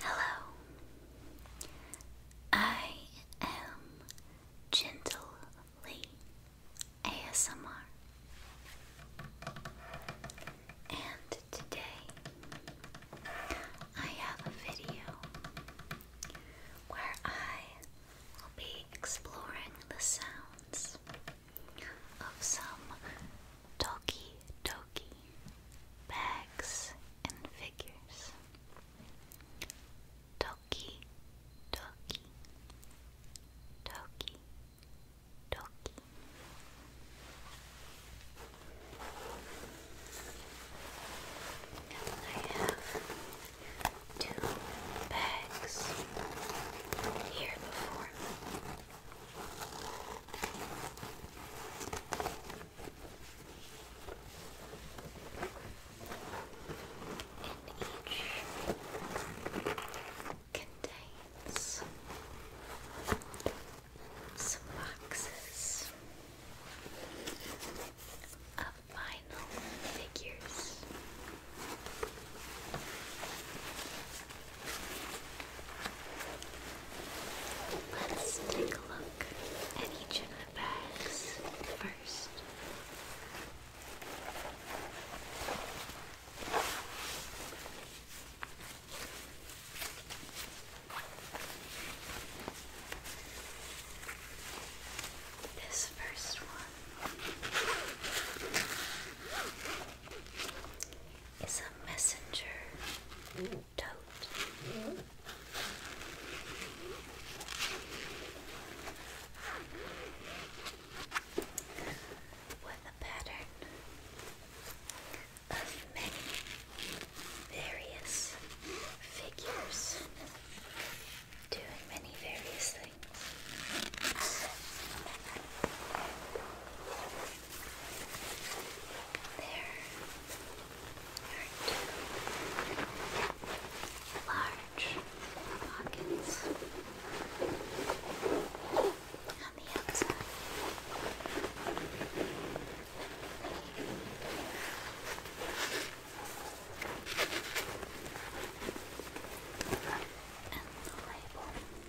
Hello. I am Gently ASMR, and today I have a video where I will be exploring the sounds of some Toki Toki bags and figures. Toki Toki Toki Toki. I have two bags here before each contains some boxes of vinyl figures. Let's take a look at each of the bags first. This first one is a messenger tote. With a pattern of many various figures doing many various things. There are two large pockets on the outside. And the label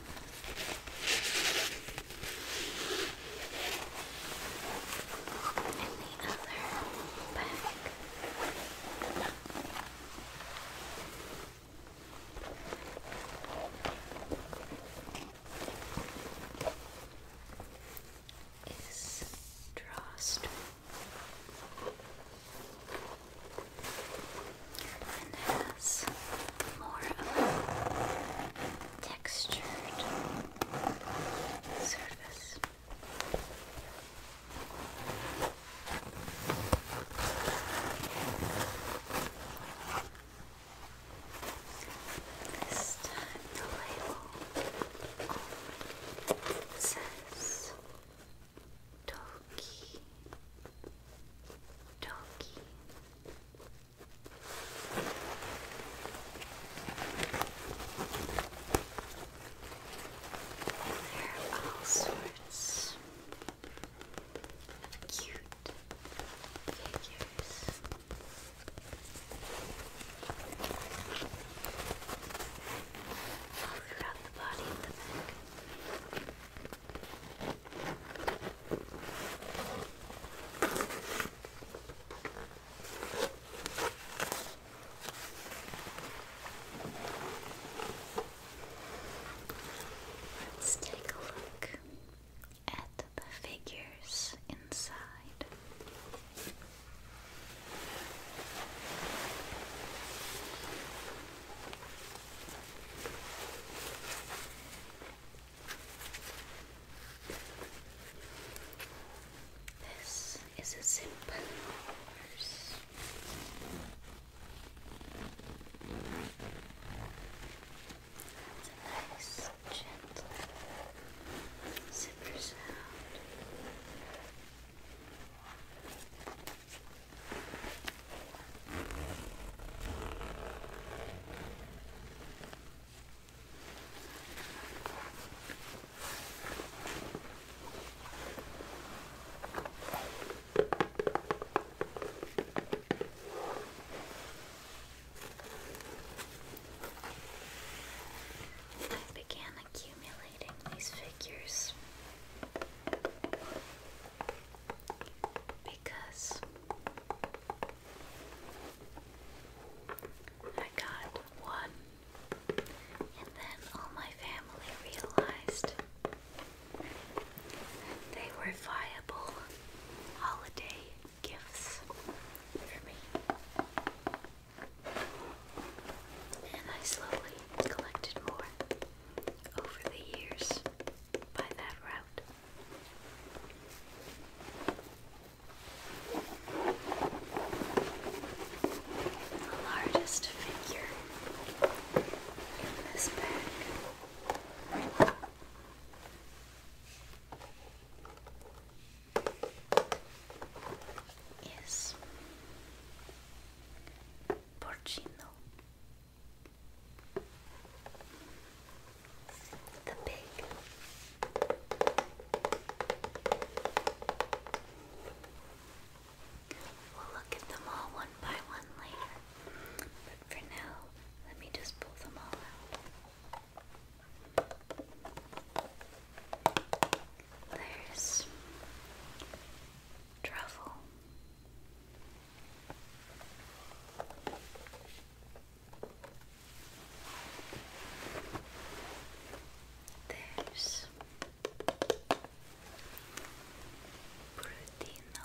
And the other back. Is drawstring and has more of a textured surface. This time the label says Toki Toki there are all sorts of cute figures. All throughout the body and the back. Let's take a look at the figures inside. This is a simple horse. nice, gentle zipper sound. I began accumulating these figures because I got one, and then all my family realized they were viable holiday gifts for me. And I slowly collected more over the years by that route. The largest figure in this bag. Is Porcino, the pig. We'll look at them all one by one later, but for now, let me just pull them all out. There's Truffle. There's Brutino.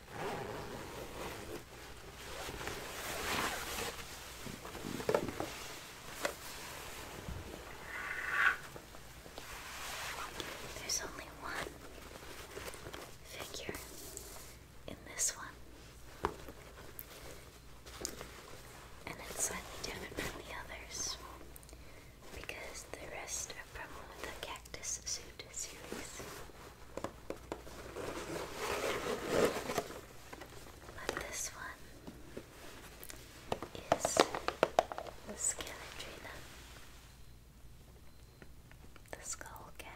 There's only one figure in this one, and it's slightly different from the others because the rest are from the Cactus Suit series. But this one is the Scaladrina, the Skull Cat.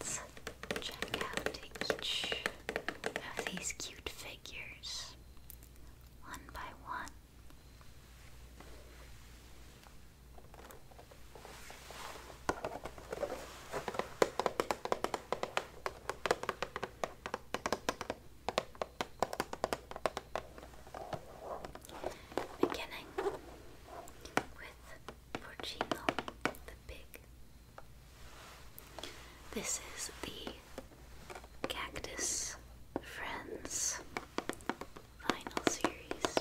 Let's check out each of these cute figures one by one. Beginning with Porcino the Pig. This is the Cactus Friends final series.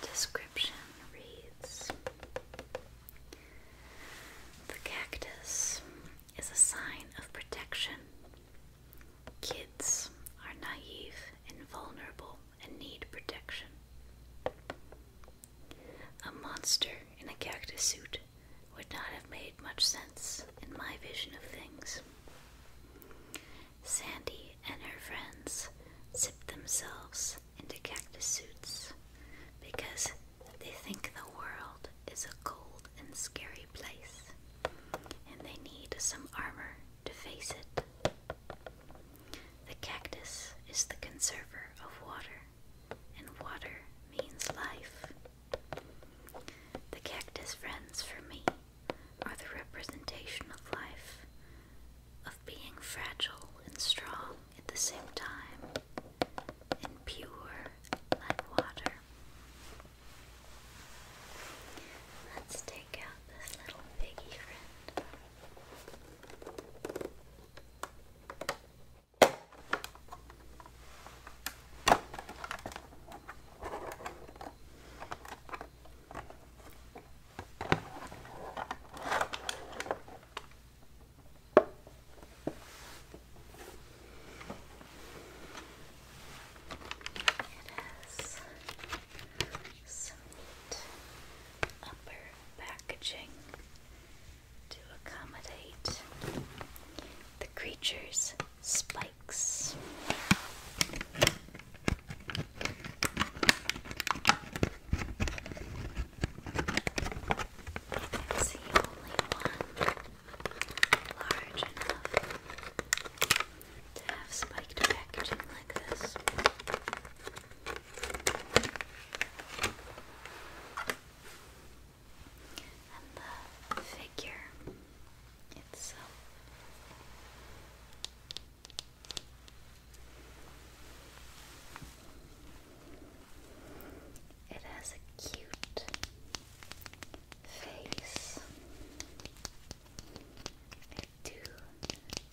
The description reads The cactus is a sign of protection. Kids are naive and vulnerable and need protection. A monster in a cactus suit would not have made much sense in my vision of things. Sandy and her friends zip themselves into cactus suits because they think the world is a cold and scary place and they need some armor to face it. The cactus is the conserver of water, and water means life. The cactus friends for me are the representation of life, of being fragile and strong at the same time, and pure like water. Let's take out this little piggy friend has some neat upper packaging to accommodate the creature's spine likes. That's the only one large enough to have spiked packaging like this. And the figure it's. It has a cute face, two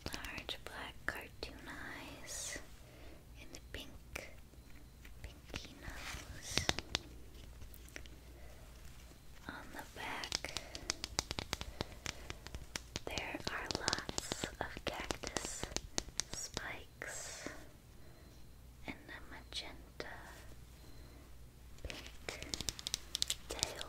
large black cartoon eyes, and a pink pinky nose on the back. There are lots of cactus spikes and a magenta pink tail.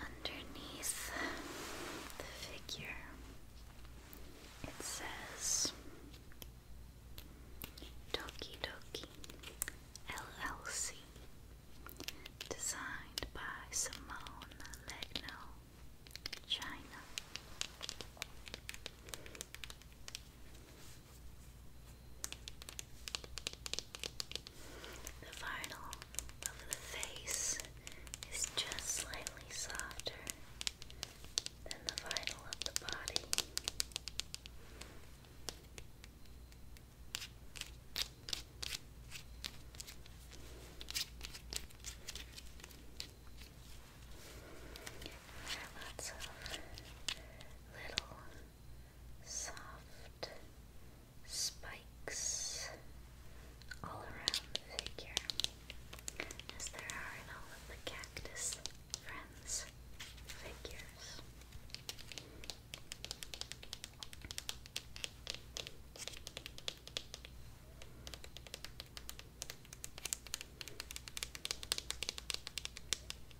Underneath the figure, it says Toki Toki LLC, designed by Simone Legno, China. The vinyl over the face is just slightly softer than the vinyl of the body. lots of little soft spikes all around the figure, as there are in all of the cactus friends figures.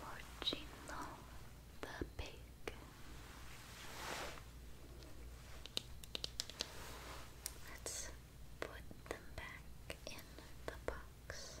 Porcino the pig. Let's put them back in the box.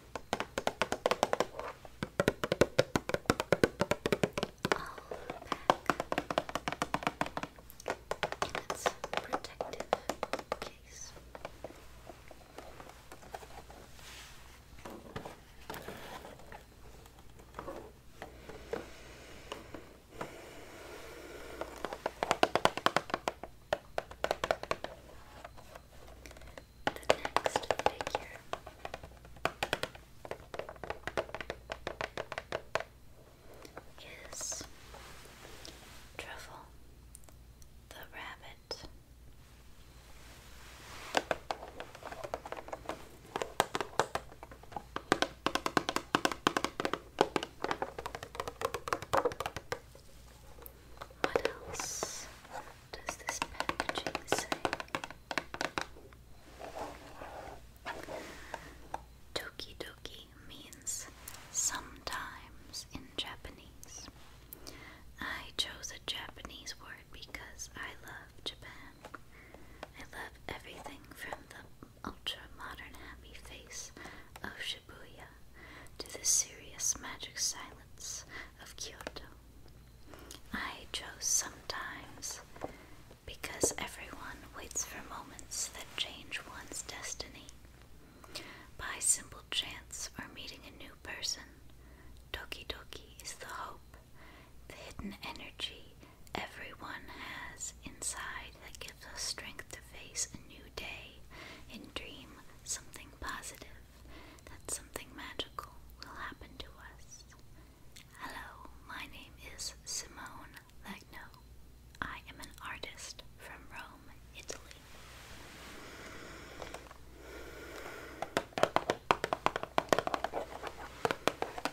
back in its protective case. Okay the next figure. Is Truffle the Rabbit. What else does this packaging say? Toki means sometimes in Japanese. I chose a Japanese word because I love Japan. I love everything from the ultra modern happy face of Shibuya to the serious magic silence of Kyoto. I chose sometimes because everyone waits for moments that change one's destiny. By simple chance or meeting a new person, Doki Doki is the hope, the hidden energy everyone has inside that gives us strength to face a new day and dream something positive that something magical will happen to us. Hello, my name is Simone Legno. I am an artist from Rome, Italy.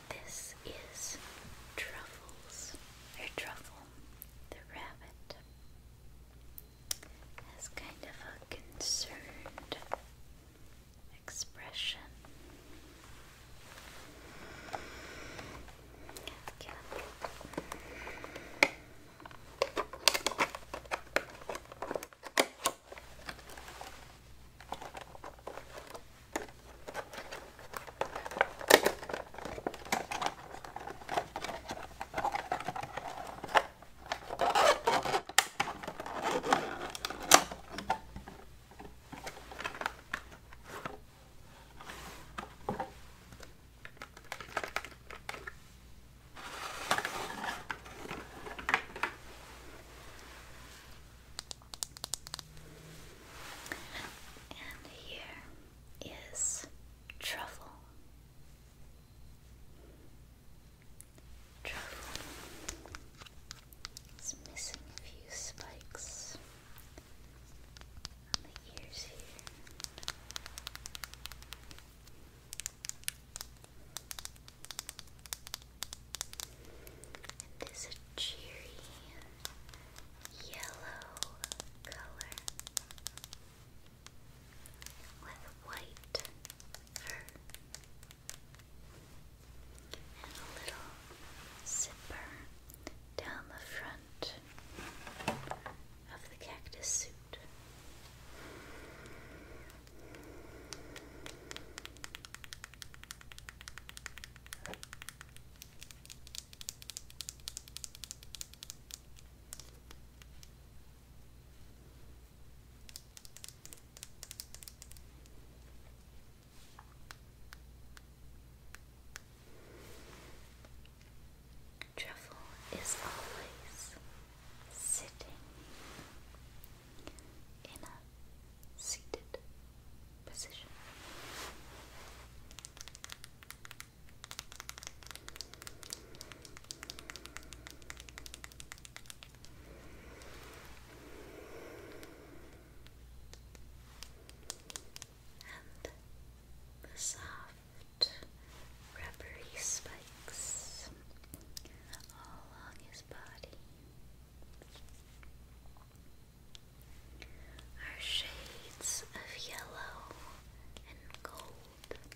This is Truffles, or Truffle the Rabbit has kind of a concerned expression. Okay. And here is truffle. Truffle missing a few spikes on the ears here. And there's a cheery yellow color with white fur and a little zipper down the front of the cactus suit. Truffle is always sitting in a seated position. And the soft rubbery spikes all along his body are shades of yellow and gold.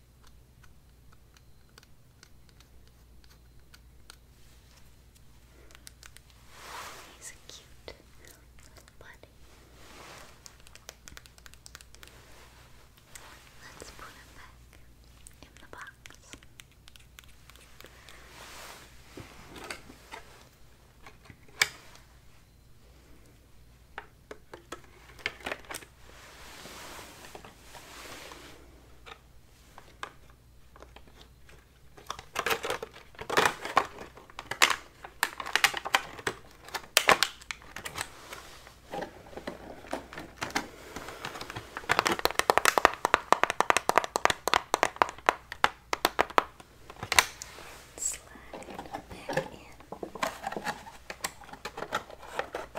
He's cute Let's put him back in the box. Slide back in.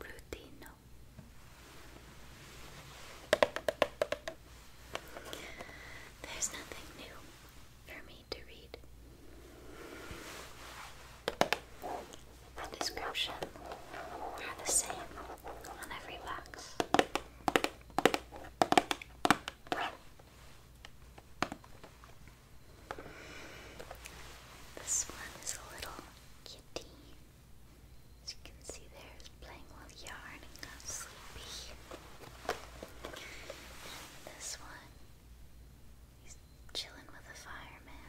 Brutino. There's nothing new for me to read. The description are the same on every box. This one is a little kitty. As you can see there, it's playing with yarn and got sleepy. And this one, he's chilling with a fireman.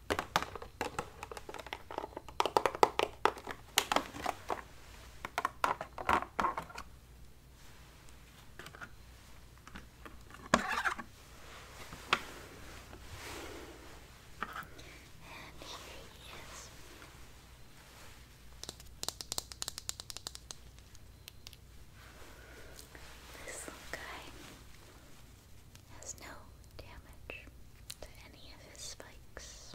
And here he is. This little guy has no damage to any of his spikes.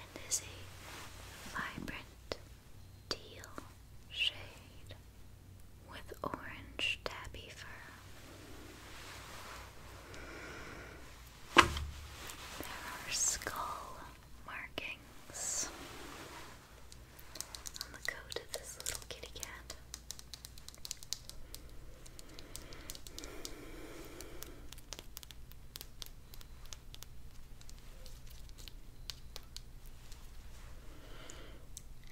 And is a vibrant teal shade with orange tabby fur. There are skull markings on the coat of this little kitty cat.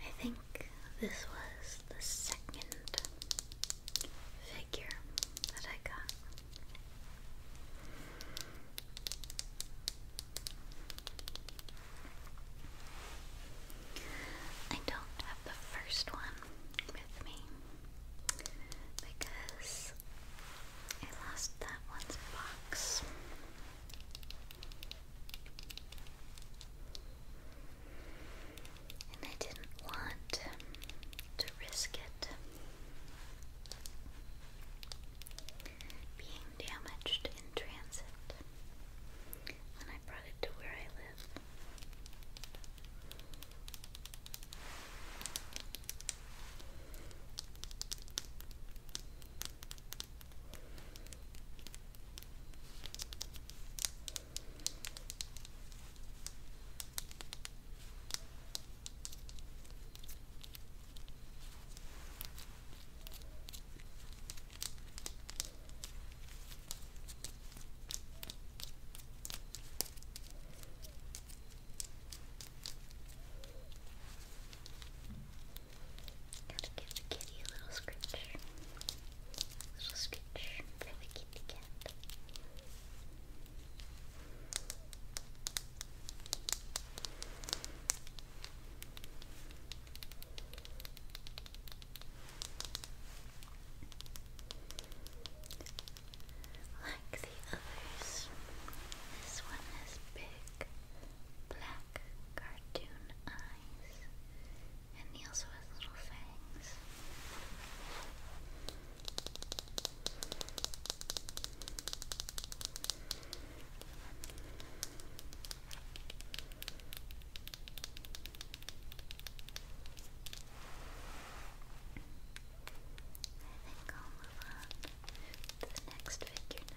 I think this was the second figure that I got. I don't have the first one with me because I lost that one's box and I didn't want to risk it being damaged in transit when I brought it to where I live. Gotta give the kitty a little scratch. A little scratch for the kitty cat. Like the others, this one has big black cartoon eyes and he also has little fangs. I think I'll move on to the next figure now.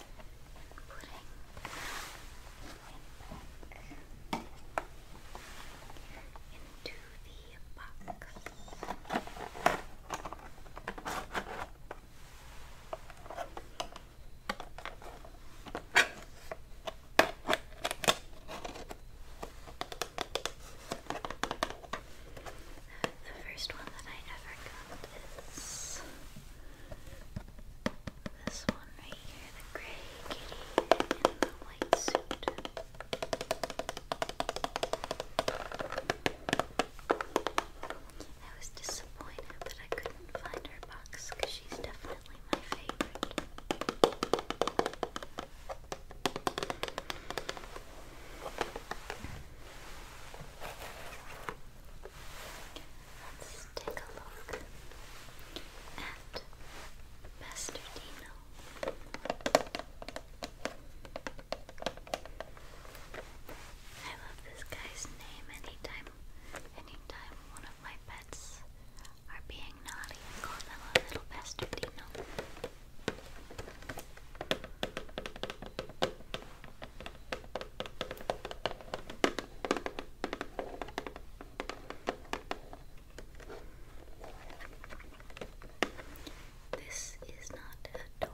putting into the box. The first one that I ever this. one right here, the gray kitty in the white suit. I was disappointed that I couldn't find her box because she's definitely my favorite. Let's take a look at Master Dino. I love this guy's name anytime anytime one of my pets are being naughty call them a little bastardino. This is not a toy.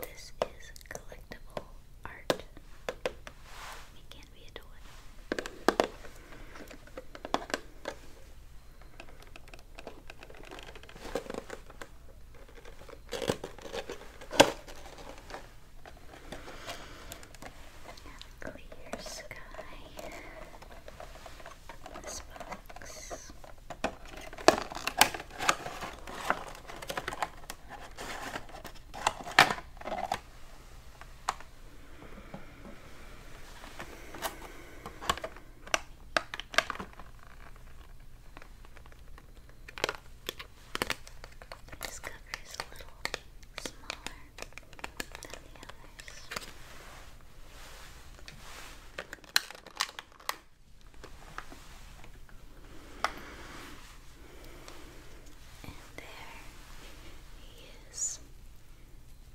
This is collectible art. It can't be a toy. Clear sky. This box. This cover is a little smaller than the others. And there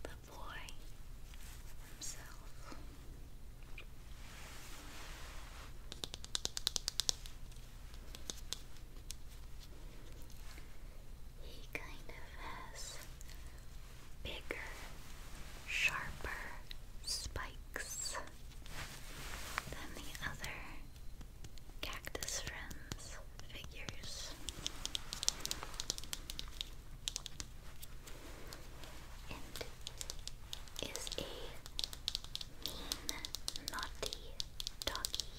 the boy himself. He kind of has bigger, sharper spikes than the other Cactus Friends figures. And is a mean, naughty doggy.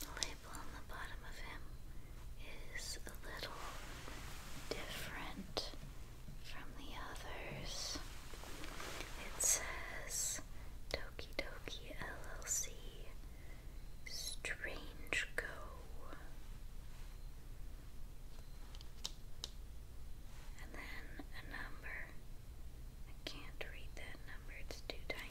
The label on the bottom of him is a little different from the others. It says Toki Toki LLC Strange Go. And then a number. I can't read that number, it's too tiny.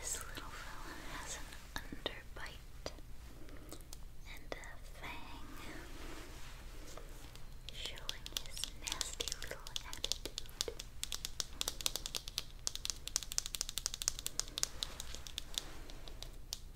This little fella has an underbite and a fang showing his nasty little attitude.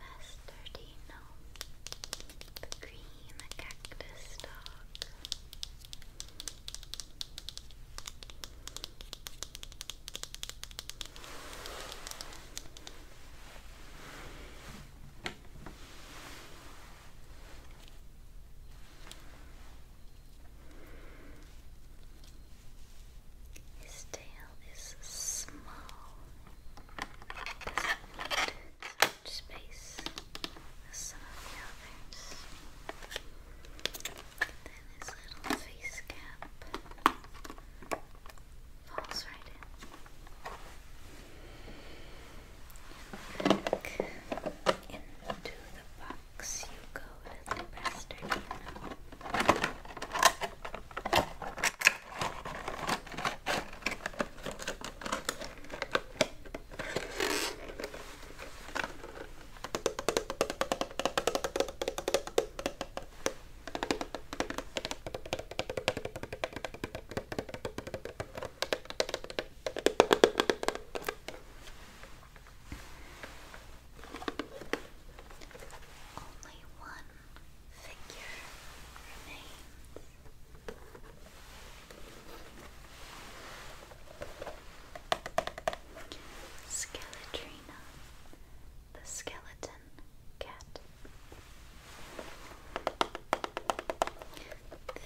Bastardino, the green cactus dog. His tail is small. doesn't need much space as some of the others. then his little face cap falls right in. Back into the box you go, little bastard, you know. Only one figure remains. Skeletrina, the skeleton cat.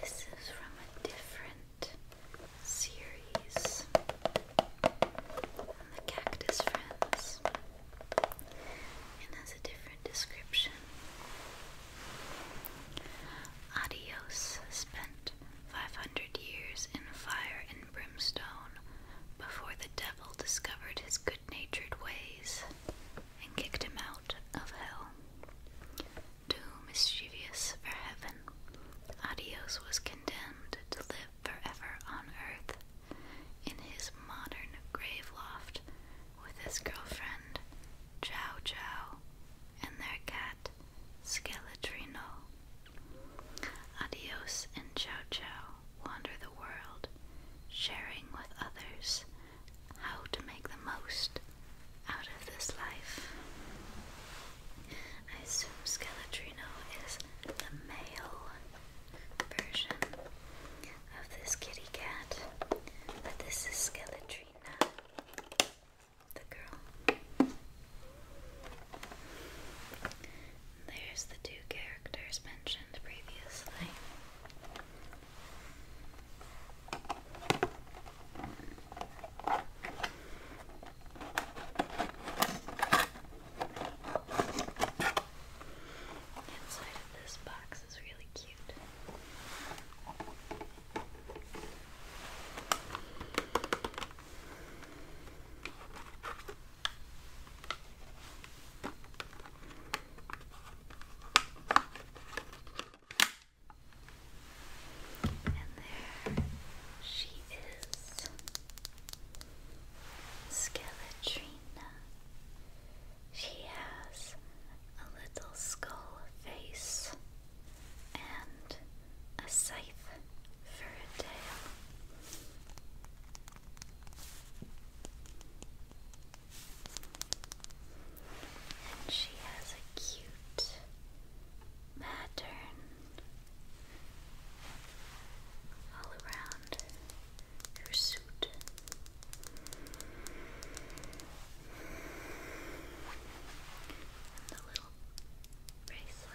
This is from a different series on the Cactus Friends and has a different description. Adios spent 500 years in fire and brimstone before the devil discovered his good natured ways and kicked him out of hell. Too mischievous for heaven, Adios was condemned to live forever on earth in his modern grave loft with his girlfriend, Chow Chow, and their cat, Skeletrino. Adios and Chow Chow wander the world, sharing with others how to make the most out of this life. I assume Skeletrino is the male version of this kitty cat, but this is Skeletrina, the girl. There's the two characters mentioned previously. Inside of this box is really cute. And there she is. Skeletrina. She has a little skull face and a scythe for a tail. And she has a cute pattern all around her suit. And the little bracelet.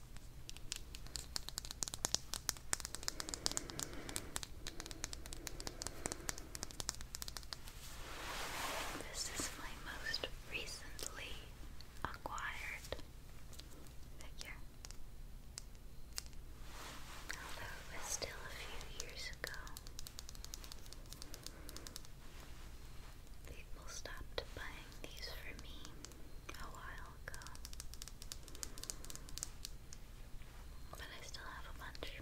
This is my most recently acquired figure. Although it was still a few years ago people stopped buying these for me a while ago. But I still have a bunch.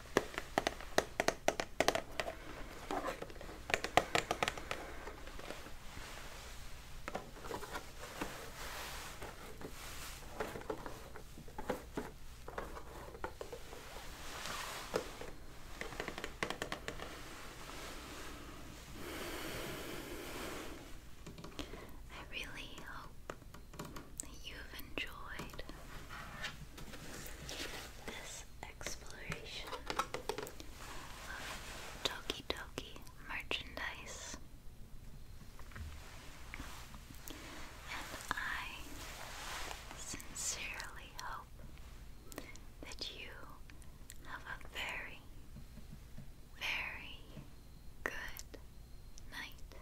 I really hope that you've enjoyed this exploration of Toki Toki merchandise. And I sincerely hope that you have a very, very good night.